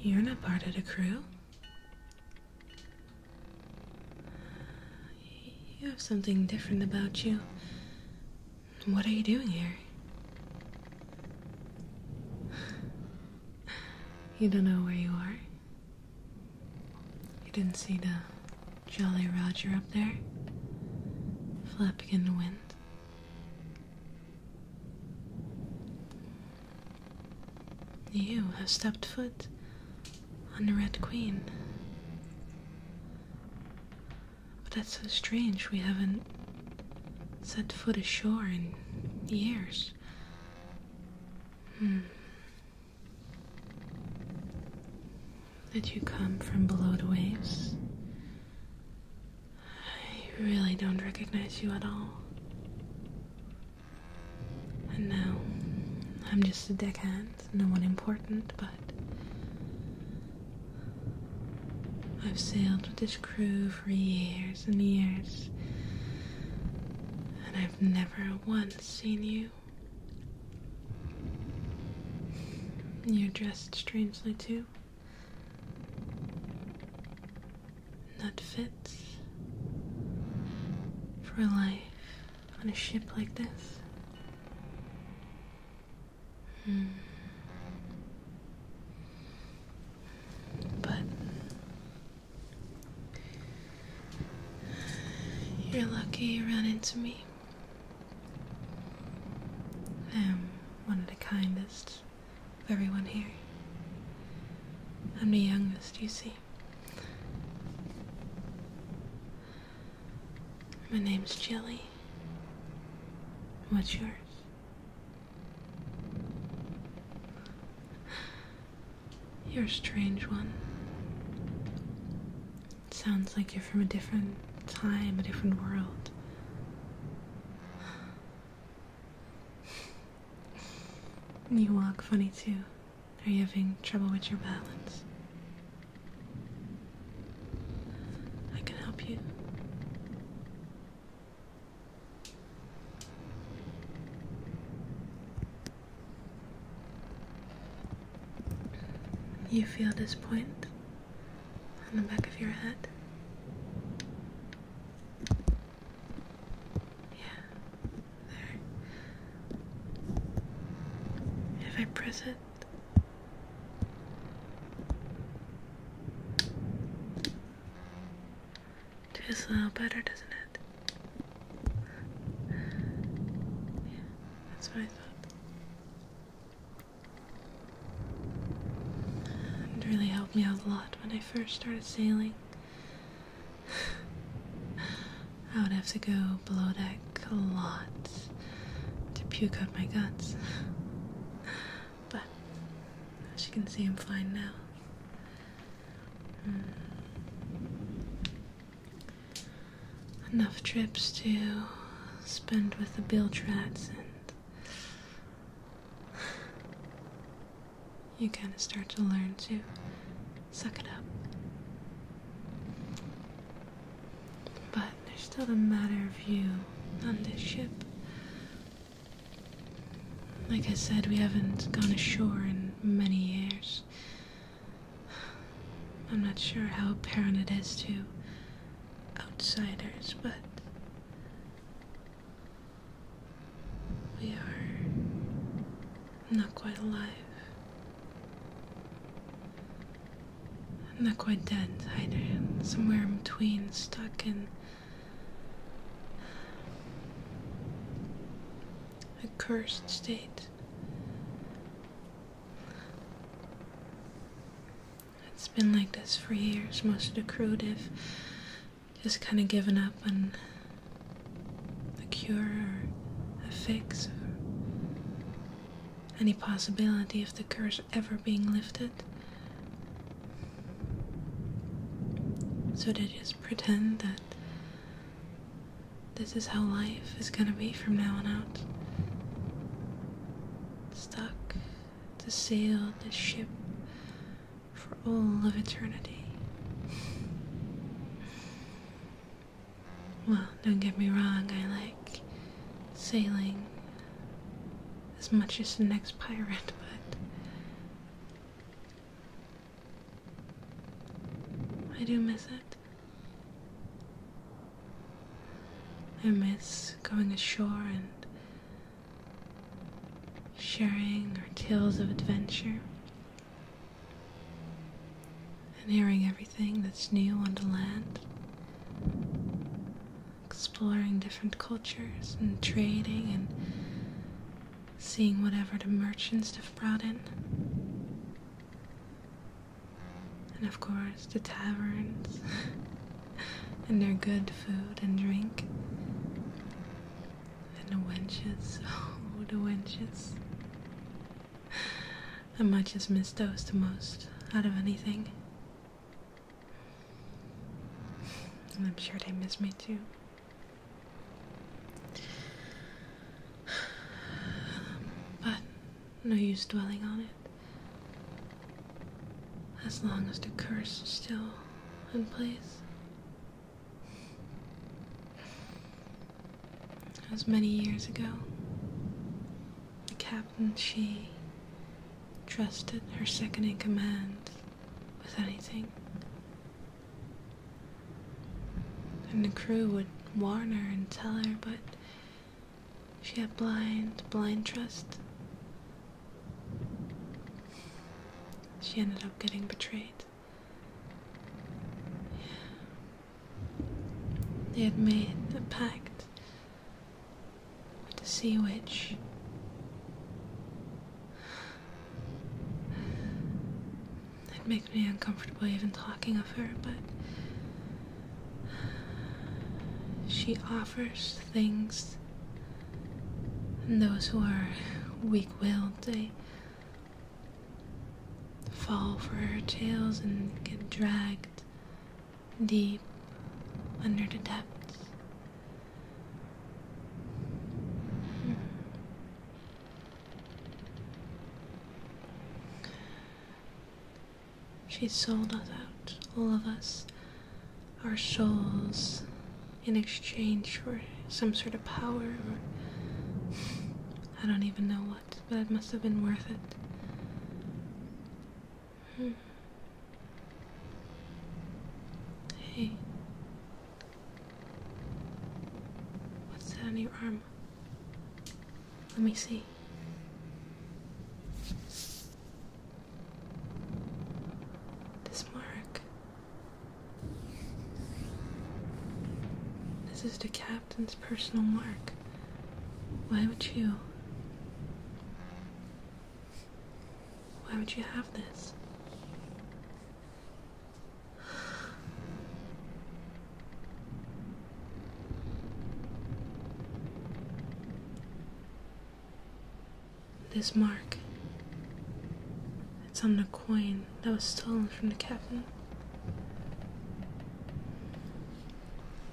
You're not part of the crew. You have something different about you. What are you doing here? You don't know where you are? You didn't see the Jolly Roger up there? Flapping in the wind? You have stepped foot on the Red Queen. But that's so strange, we haven't set foot ashore in years. Hmm. Did you come from below the waves? I really don't recognize you at all. And now, I'm just a deckhand, no one important, but I've sailed with this crew for years and years, and I've never once seen you. You're dressed strangely too that fits for life on a ship like this? Hmm. But you're lucky you ran into me. I am um, one of the kindest of everyone here. I'm the youngest, you see. My name's Jelly. What's yours? You're a strange one sounds like you're from a different time, a different world. You walk funny too. Are you having trouble with your balance? I can help you. You feel this point? on the back of your head. Yeah, there. If I press it, it feels a little better, doesn't it? Yeah, that's what I thought. It really helped me out a lot when I first started sailing. I would have to go below deck a lot to puke out my guts. but as you can see, I'm fine now. Hmm enough trips to spend with the Biltrats, and you kind of start to learn to suck it up. But there's still the matter of you on this ship. Like I said, we haven't gone ashore in many years. I'm not sure how apparent it is to outsiders, but we are not quite alive. Not quite dead either. Somewhere in between, stuck in a cursed state. It's been like this for years. Most of the crew, have just kind of given up on the cure or a fix any possibility of the curse ever being lifted. So they just pretend that this is how life is gonna be from now on out. Stuck to sail this ship for all of eternity. Well, don't get me wrong, I like sailing as much as the next pirate, but I do miss it. I miss going ashore and sharing our tales of adventure and hearing everything that's new on the land. Exploring different cultures and trading and seeing whatever the merchants have brought in and of course the taverns and their good food and drink. And the wenches, oh, the wenches. I might just miss those the most out of anything. And I'm sure they miss me too. But no use dwelling on it. As long as the curse is still in place. As many years ago, the captain she trusted her second in command with anything. And the crew would warn her and tell her, but she had blind, blind trust. She ended up getting betrayed. They had made a pact with the Sea Witch. It makes me uncomfortable even talking of her, but she offers things. And those who are weak willed, they fall for her tales and get dragged deep under the depths. Hmm. She sold us out, all of us, our souls, in exchange for some sort of power or. I don't even know what, but it must have been worth it. Hmm. Hey. What's that on your arm? Let me see. This mark. This is the captain's personal mark. Why would you? Why would you have this? This mark. It's on the coin that was stolen from the captain.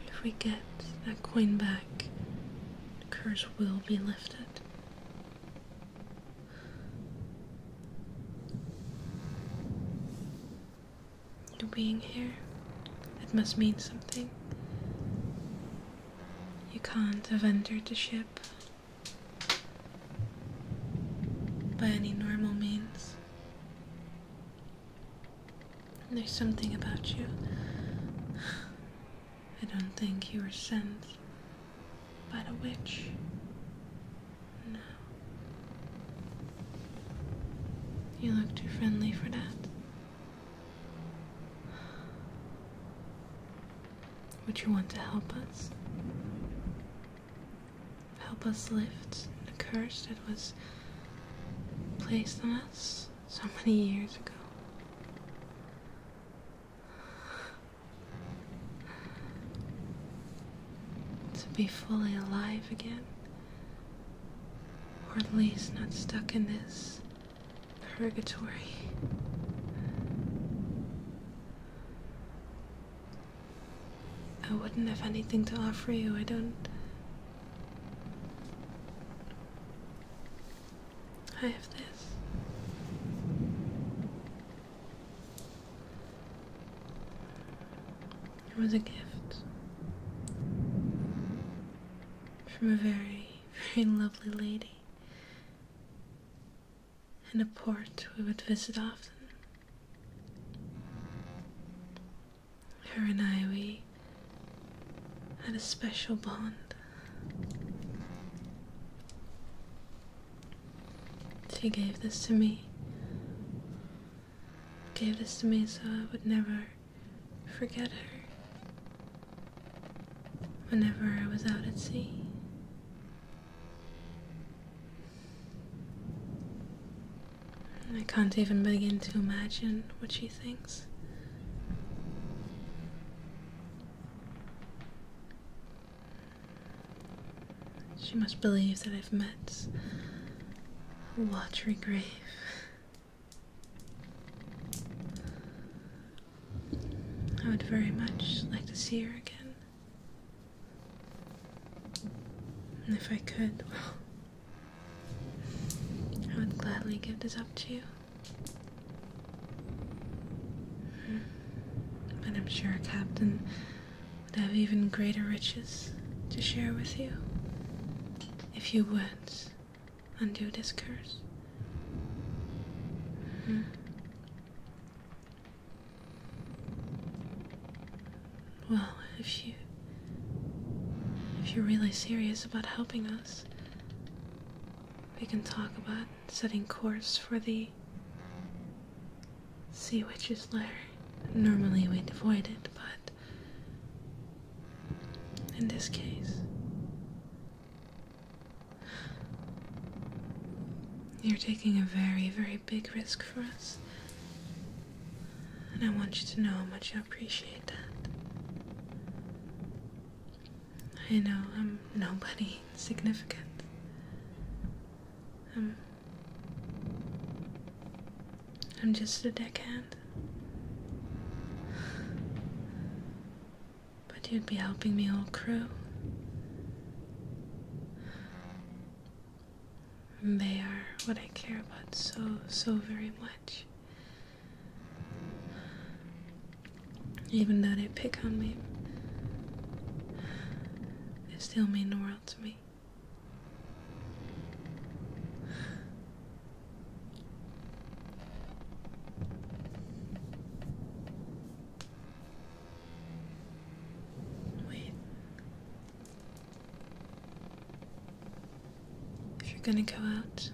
If we get that coin back, the curse will be lifted. Your being here. It must mean something. You can't have entered the ship by any normal means. There's something about you. I don't think you were sent by the witch. No. You look too friendly for that. Would you want to help us? Help us lift the curse that was placed on us so many years ago to be fully alive again. Or at least not stuck in this purgatory. I wouldn't have anything to offer you. I don't. I have this. It was a gift from a very, very lovely lady in a port we would visit often. Her and I, we had a special bond. She gave this to me. Gave this to me so I would never forget her. Whenever I was out at sea. I can't even begin to imagine what she thinks. She must believe that I've met a watery grave. I would very much like to see her again. And if I could, I would gladly give this up to you. Hmm. But I'm sure, Captain, would have even greater riches to share with you if you would undo this curse. Hmm. Well, if you if you're really serious about helping us, we can talk about setting course for the Sea Witch's Lair. Normally we'd avoid it, but in this case, you're taking a very, very big risk for us. And I want you to know how much I appreciate that. I know I'm nobody significant. I'm, um, I'm just a deckhand. But you'd be helping me all crew. And they are what I care about so, so very much. Even though they pick on me, it still mean the world to me. Wait. If you're gonna go out,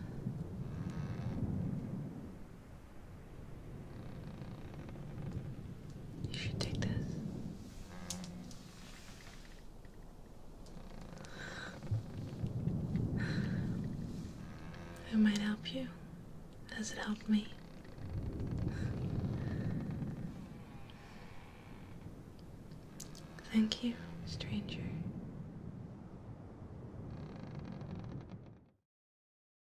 you should take this. It might help you. Has it helped me? Thank you, stranger.